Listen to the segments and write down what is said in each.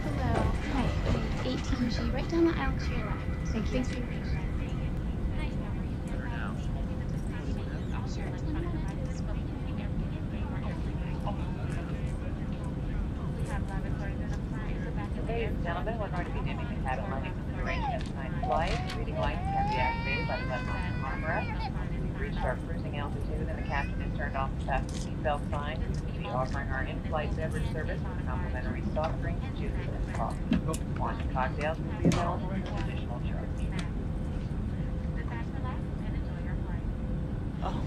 Hello. Hi. I'm 18G. Right down the aisle to your left. Thank you. Thanks for your patience. Gentlemen, to be doing the cabin lighting for the duration of nine flight. Reading lights can be activated by the left armrest. We've Reached our cruising altitude and the captain has turned off the seatbelt sign, we will be offering our in-flight beverage service with complimentary soft drinks, juices, and coffee. Wine cocktails will be available at no additional charge. Oh.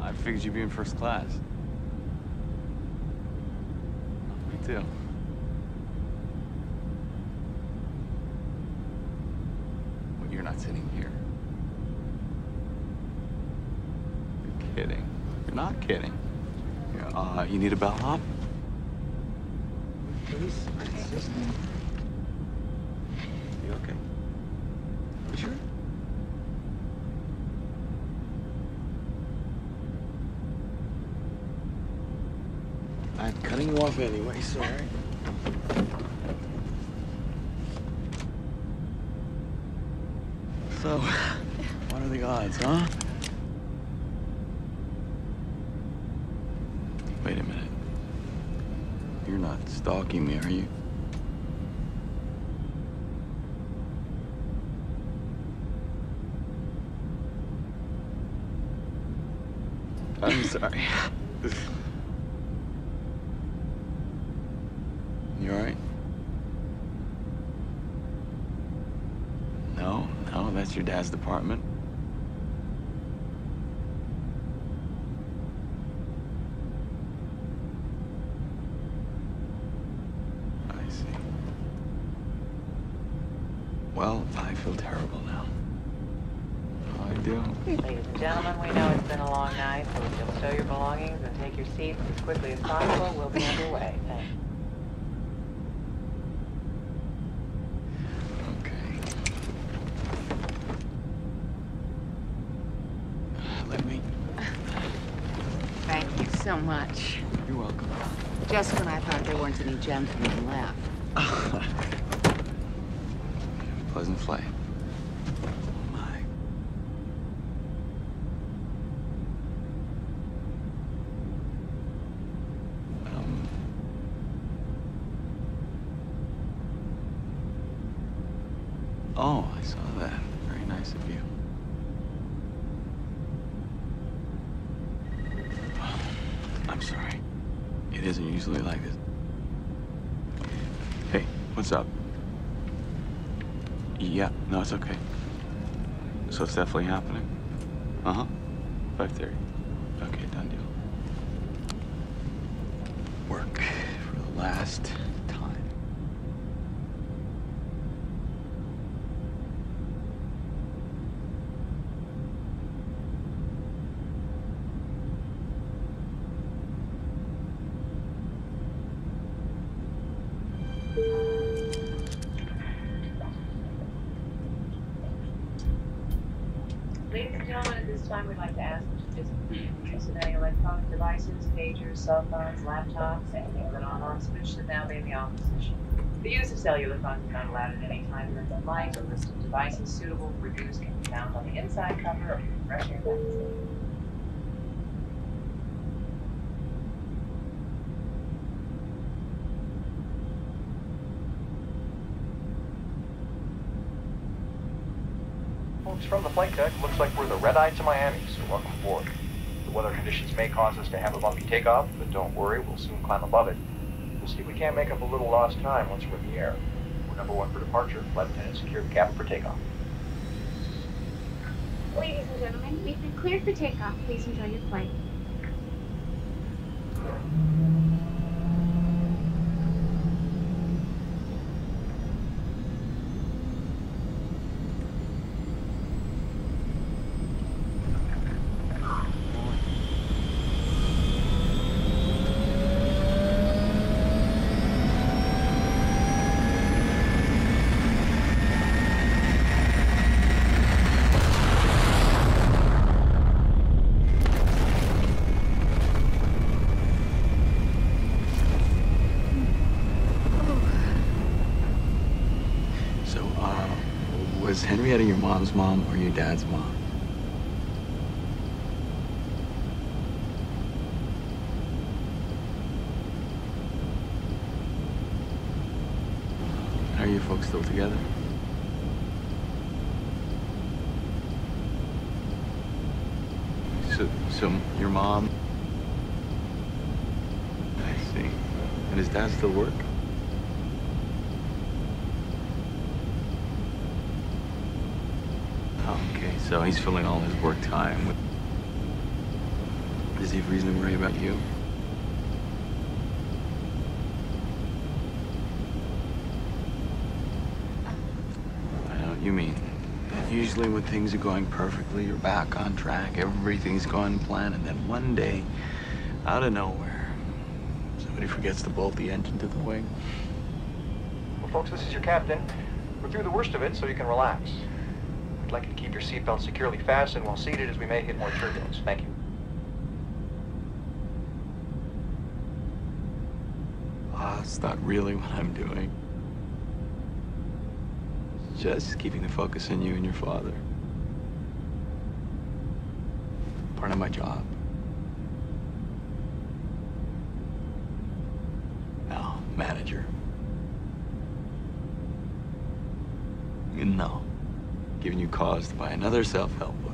I figured you'd be in first class. Me too when you're not sitting here. You're kidding. You're not kidding. you uh, you need a bellhop? Please, You okay? You sure? I'm cutting you off anyway, sorry. So, what are the odds, huh? Wait a minute. You're not stalking me, are you? I'm sorry. you alright? No, no, that's your dad's department. I see. Well, I feel terrible now. Ladies and gentlemen, we know it's been a long night, so if you'll show your belongings and take your seats as quickly as possible, we'll be underway. Thanks. Okay. Let me. Thank you so much. You're welcome. Just when I thought there weren't any gentlemen left. Pleasant flight. Oh my. Um. Oh, I saw that. Very nice of you. Oh, I'm sorry. It isn't usually like this. Hey, what's up? Yeah, no, it's okay. So it's definitely happening? Uh-huh. 5.30. Okay, done deal. Work for the last time. Ladies and gentlemen, at this time we'd like to ask that you to please use of any electronic devices, pagers, cell phones, laptops, and with an non off switch that now may be off position. The use of cellular phones is not allowed at any time during the light. A list of devices suitable for use can be found on the inside cover of the refreshing magazine. Folks, from the flight deck, looks like we're the red eye to Miami, so welcome aboard. The weather conditions may cause us to have a bumpy takeoff, but don't worry, we'll soon climb above it. We'll see we can't make up a little lost time once we're in the air. We're number one for departure. Flight attendant secure the cabin for takeoff. Ladies and gentlemen, we've been cleared for takeoff. Please enjoy your flight. So, uh, was Henrietta your mom's mom or your dad's mom? Are you folks still together? So, so your mom? I see. And is dad still work? Okay, so he's filling all his work time with... Does he have reason to worry about you? I know what you mean. Usually when things are going perfectly, you're back on track, everything's going plan, and then one day, out of nowhere, somebody forgets to bolt the engine to the wing. Well, folks, this is your captain. We're through the worst of it, so you can relax. I'd like you to keep your seatbelt securely fastened while seated as we may hit more turbulence. Thank you. Ah, it's not really what I'm doing. Just keeping the focus on you and your father. Part of my job. Our manager. No. Giving you caused by another self-help book.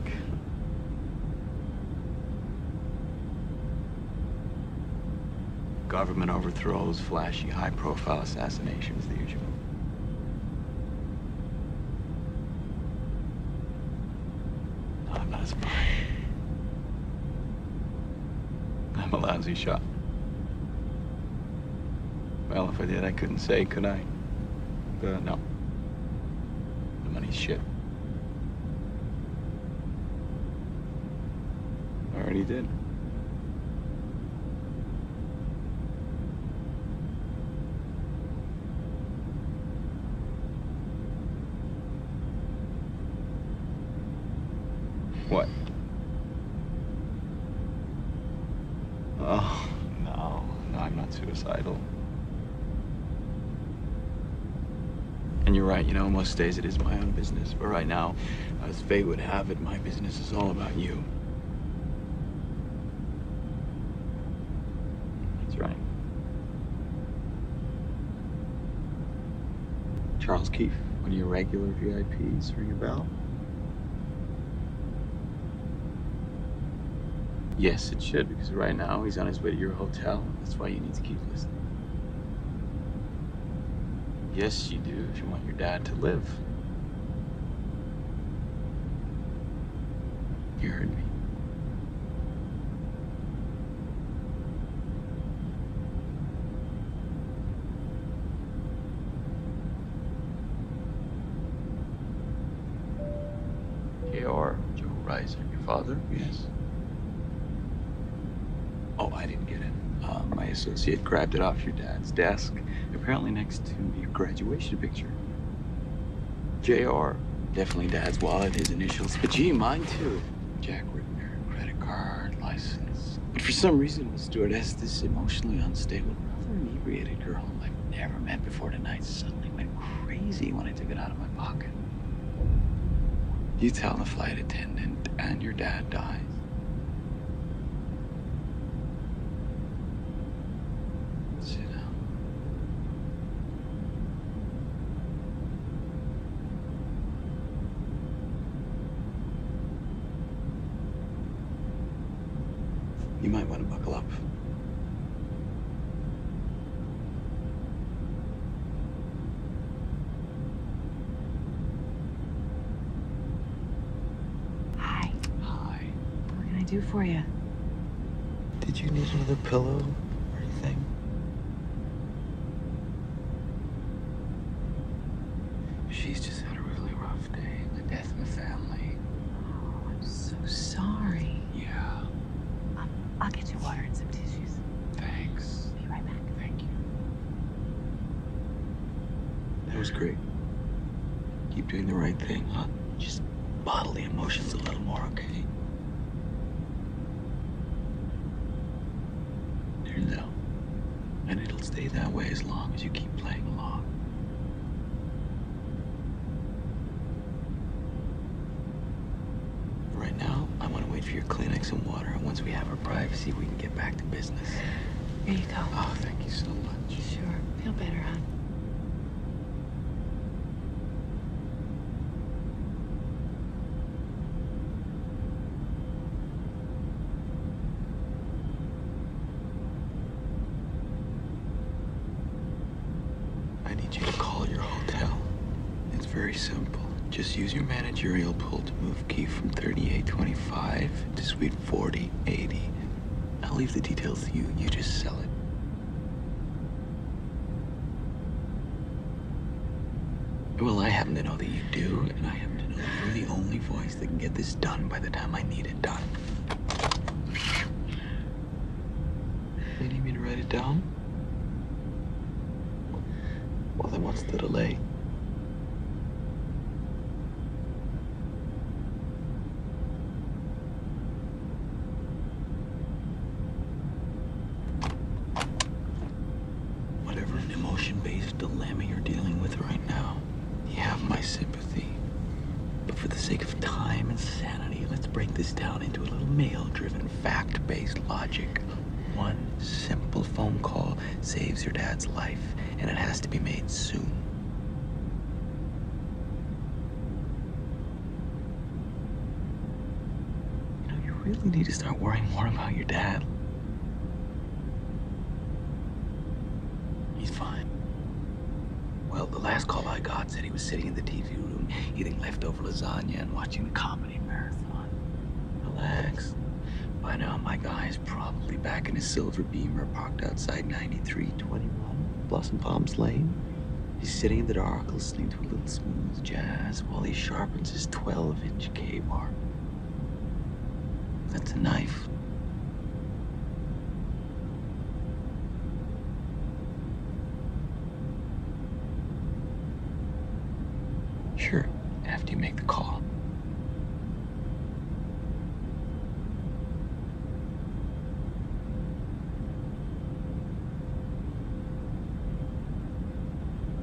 Government overthrows, flashy, high-profile assassinations, the usual. I'm not a I'm a lousy shot. Well, if I did, I couldn't say, could I? Uh, no. The money's shit. I already did. What? Oh, no. No, I'm not suicidal. And you're right, you know, most days it is my own business. But right now, as fate would have it, my business is all about you. That's right. Charles Keefe, one of your regular VIPs, ring a bell? Yes, it should, because right now he's on his way to your hotel. That's why you need to keep listening. Yes, you do, if you want your dad to live. You heard me. JR, Joe Reiser, your father? Yes. Oh, I didn't get it. Uh, my associate grabbed it off your dad's desk, apparently next to your graduation picture. JR, Definitely dad's wallet, his initials, but gee, mine too. Jack Ripner, credit card, license. But for some reason, when Stuart asked this emotionally unstable, rather inebriated girl I've never met before tonight suddenly went crazy when I took it out of my pocket. You tell the flight attendant, and your dad dies. Sit down. You might want to buckle up. Hi. Hi. What can I do for you? Did you need another pillow or anything? She's just had a really rough day. The death in the family. I'm so sorry. Yeah. Um, I'll get you water and some tissues. Thanks. Be right back. Thank you. That was great. Keep doing the right thing, huh? Just bottle the emotions a little more, okay? They're no. And it'll stay that way as long as you keep playing along. Right now, I want to wait for your Kleenex and water, and once we have our privacy, we can get back to business. Here you go. Oh, thank you so much. Sure. Feel better, huh? I need you to call your hotel. It's very simple. Just use your managerial pull to move key from 3825 to suite 4080. I'll leave the details to you. You just sell it. Well, I happen to know that you do, and I happen to know that you're the only voice that can get this done by the time I need it done. You need me to write it down? Well, then what's the delay? Whatever emotion-based dilemma you're dealing with right now, you have my sympathy. But for the sake of time and sanity, let's break this down into a little male-driven, fact-based logic. One simple phone call saves your dad's life, and it has to be made soon. You know, you really need to start worrying more about your dad. He's fine. Well, the last call I got said he was sitting in the TV room eating leftover lasagna and watching the comedy marathon. Relax. By now, my guy is probably back in his silver beamer parked outside 9321 Blossom Palms Lane. He's sitting in the dark listening to a little smooth jazz while he sharpens his 12 inch K bar. That's a knife. Sure, after you make the call.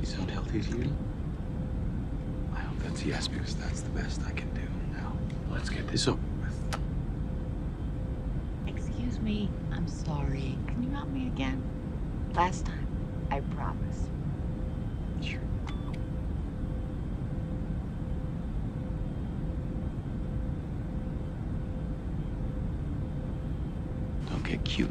You sound healthy as usual. I hope that's yes, because that's the best I can do now. Let's get this over with. Excuse me, I'm sorry. Can you help me again? Last time, I promise. Sure. Don't get cute.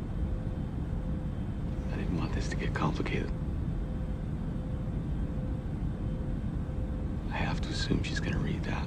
I didn't want this to get complicated. I have to assume she's gonna read that.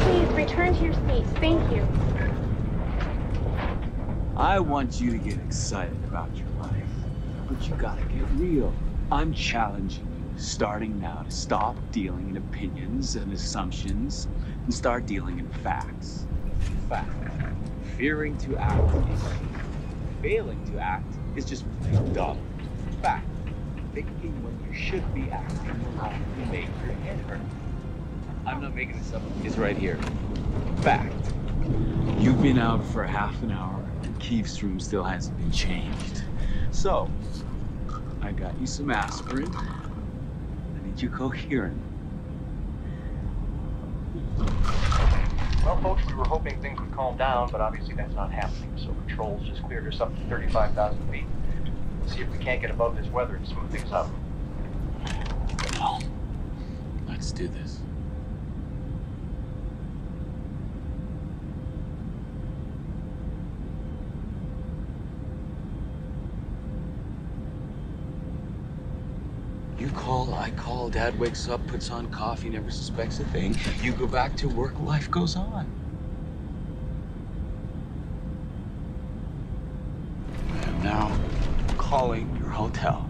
Please return to your Thank you. I want you to get excited about your life, but you gotta get real. I'm challenging you, starting now, to stop dealing in opinions and assumptions and start dealing in facts. Fact. Fearing to act, failing to act is just plain dumb. Fact. Thinking when you should be acting will often make your head hurt. I'm not making this up, is right here. Fact. You've been out for half an hour and Keefe's room still hasn't been changed. So, I got you some aspirin. I need you coherent. Well, folks, we were hoping things would calm down, but obviously that's not happening. So control's just cleared us up to 35,000 feet. We'll see if we can't get above this weather and smooth things up. Well, let's do this. You call, I call, Dad wakes up, puts on coffee, never suspects a thing. You go back to work, life goes on. I am now calling your hotel.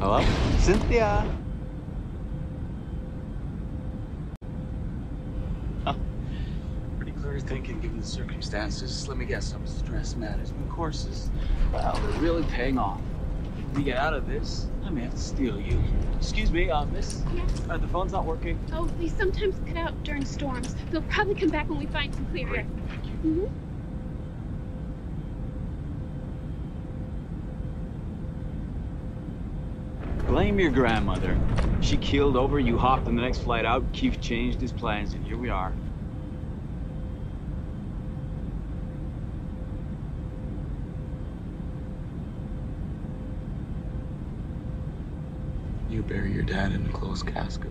Hello? Cynthia! Oh. Pretty clear thinking given the circumstances. Let me guess, some stress management courses. Wow, they're really paying off. When we get out of this, I may have to steal you. Excuse me, uh, miss? Yes? the phone's not working. Oh, they sometimes cut out during storms. They'll probably come back when we find some clear air. mm Blame your grandmother. She keeled over, you hopped on the next flight out, Keith changed his plans here we are. You bury your dad in a closed casket.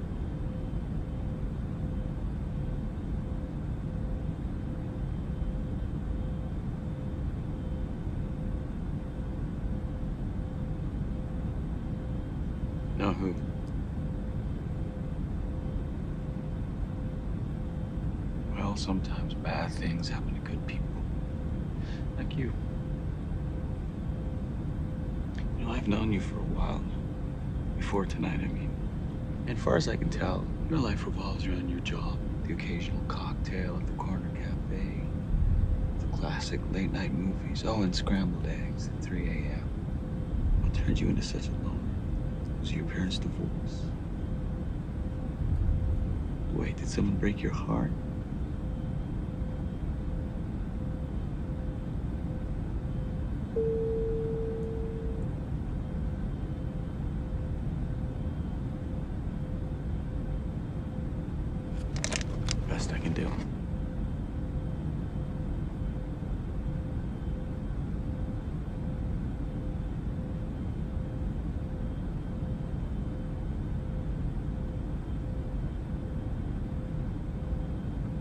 Now Well, sometimes bad things happen to good people. Like you. You know, I've known you for a while now. Before tonight, I mean. And far as I can tell, your life revolves around your job, the occasional cocktail at the corner cafe, the classic late night movies, oh, and scrambled eggs at 3 a.m. What turned you into such a loner? Was your parents' divorce? Wait, did someone break your heart? Best I can do.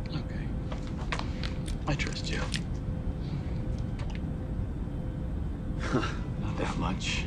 Okay. I trust you. Not that much.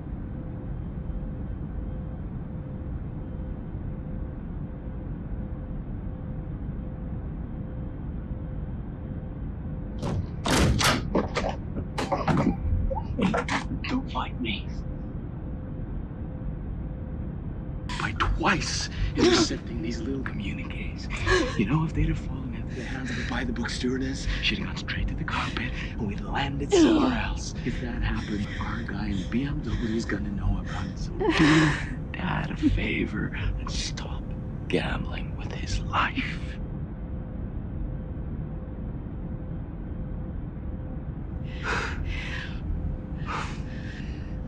Don't fight me. By twice intercepting these little communiques. You know, if they'd have fallen into the hands of the by-the-book stewardess, she'd have straight to the carpet and we landed somewhere else. If that happens, our guy in BMW is gonna know about it. So do Dad a favor and stop gambling with his life.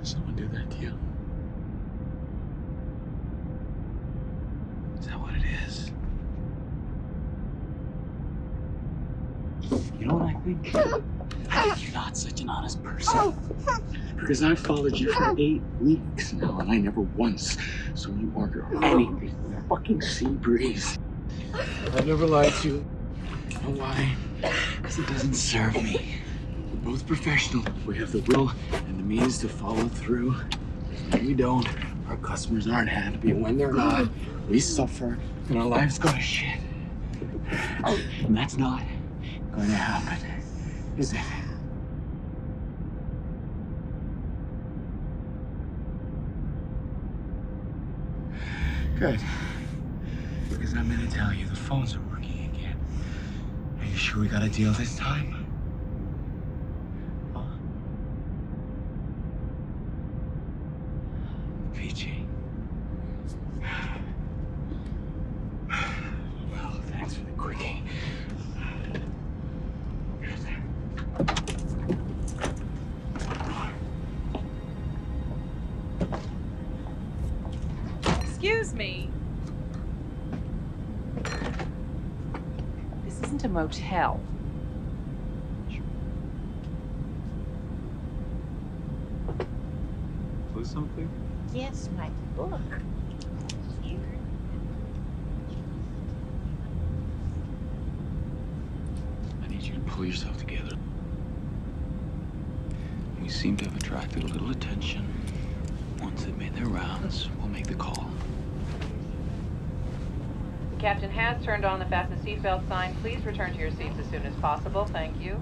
Someone do that to Is that what it is? You know what I think? you're not such an honest person. Because I've followed you for eight weeks now, and I never once saw you order anything. Fucking sea breeze. I have never lied to You know why? Because it doesn't serve me. We're both professional. We have the will and the means to follow through. You don't. Our customers aren't happy. When they're not, we suffer and our lives go to shit. And that's not going to happen, is it? Good. Because I'm gonna tell you the phones are working again. Are you sure we got a deal this time? Peachy. Well, thanks for the quickie. Excuse me. This isn't a motel. Was something? Yes, my book. Here. I need you to pull yourself together. We seem to have attracted a little attention. Once they've made their rounds, we'll make the call. The captain has turned on the fasten seatbelt sign. Please return to your seats as soon as possible. Thank you.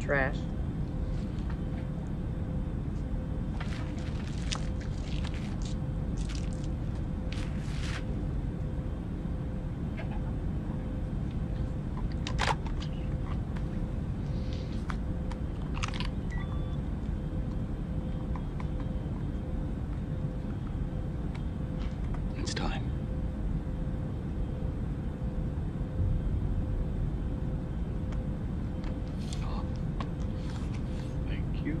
trash. It's time. Oh. Thank you.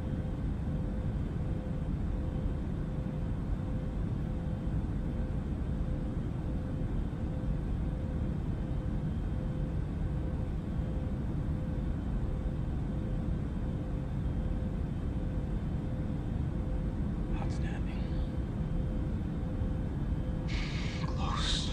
Outstanding. Close.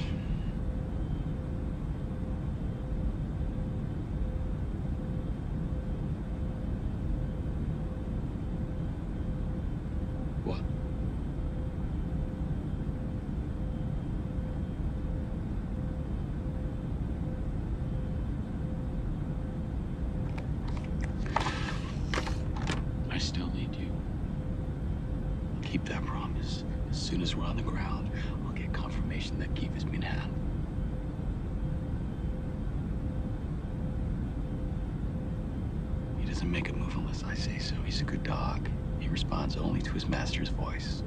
What? I still need you. Keep that promise. As soon as we're on the ground, I'll get that Keith has been had. He doesn't make a move unless I say so. He's a good dog. He responds only to his master's voice.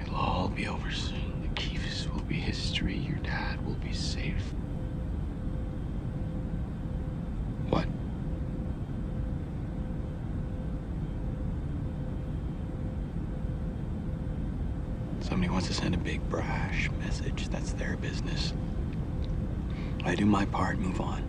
It'll all be over soon. The Keefs will be history. Your dad will be safe. What? Somebody wants to send a big brash message. That's their business. I do my part, move on.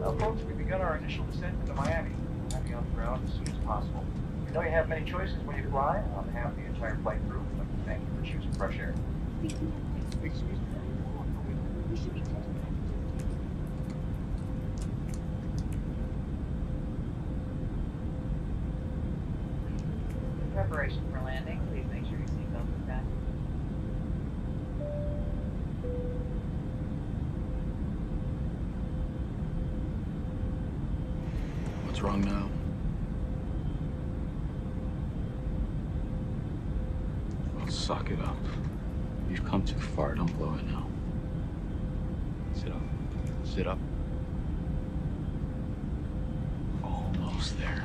Well, folks, we have begun our initial descent into Miami. I'll be on the ground as soon as possible. We know you have many choices when you fly. On behalf of the entire flight crew, thank you for choosing fresh air. Excuse me preparation for landing, please make sure your seatbelt is fastened. What's wrong now? I'll suck it up. You've come too far. Don't blow it now. Sit up. Sit up. Almost there.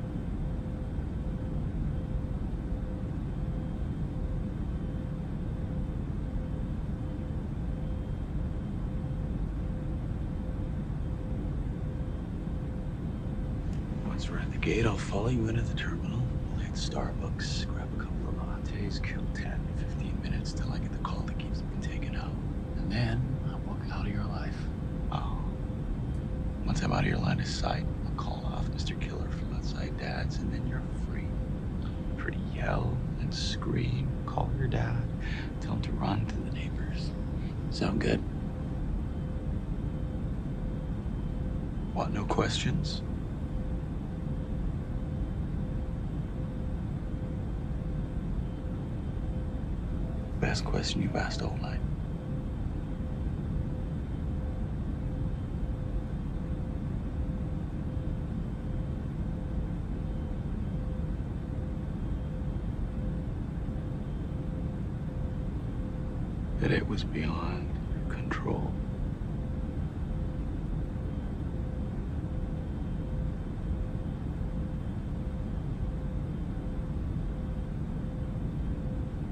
Once we're at the gate, I'll follow you into the terminal. We'll hit Starbucks, grab a couple of lattes, kill 10, 15 minutes till I get the call that keeps me taken out. And then I'll book out of your life. Oh. Once I'm out of your line of sight, I'll call off Mr. Killer from outside dad's, and then you're free. Pretty yell and scream, call your dad, tell him to run to the neighbors. Sound good? What, no questions? Best question you've asked all night that it was beyond control.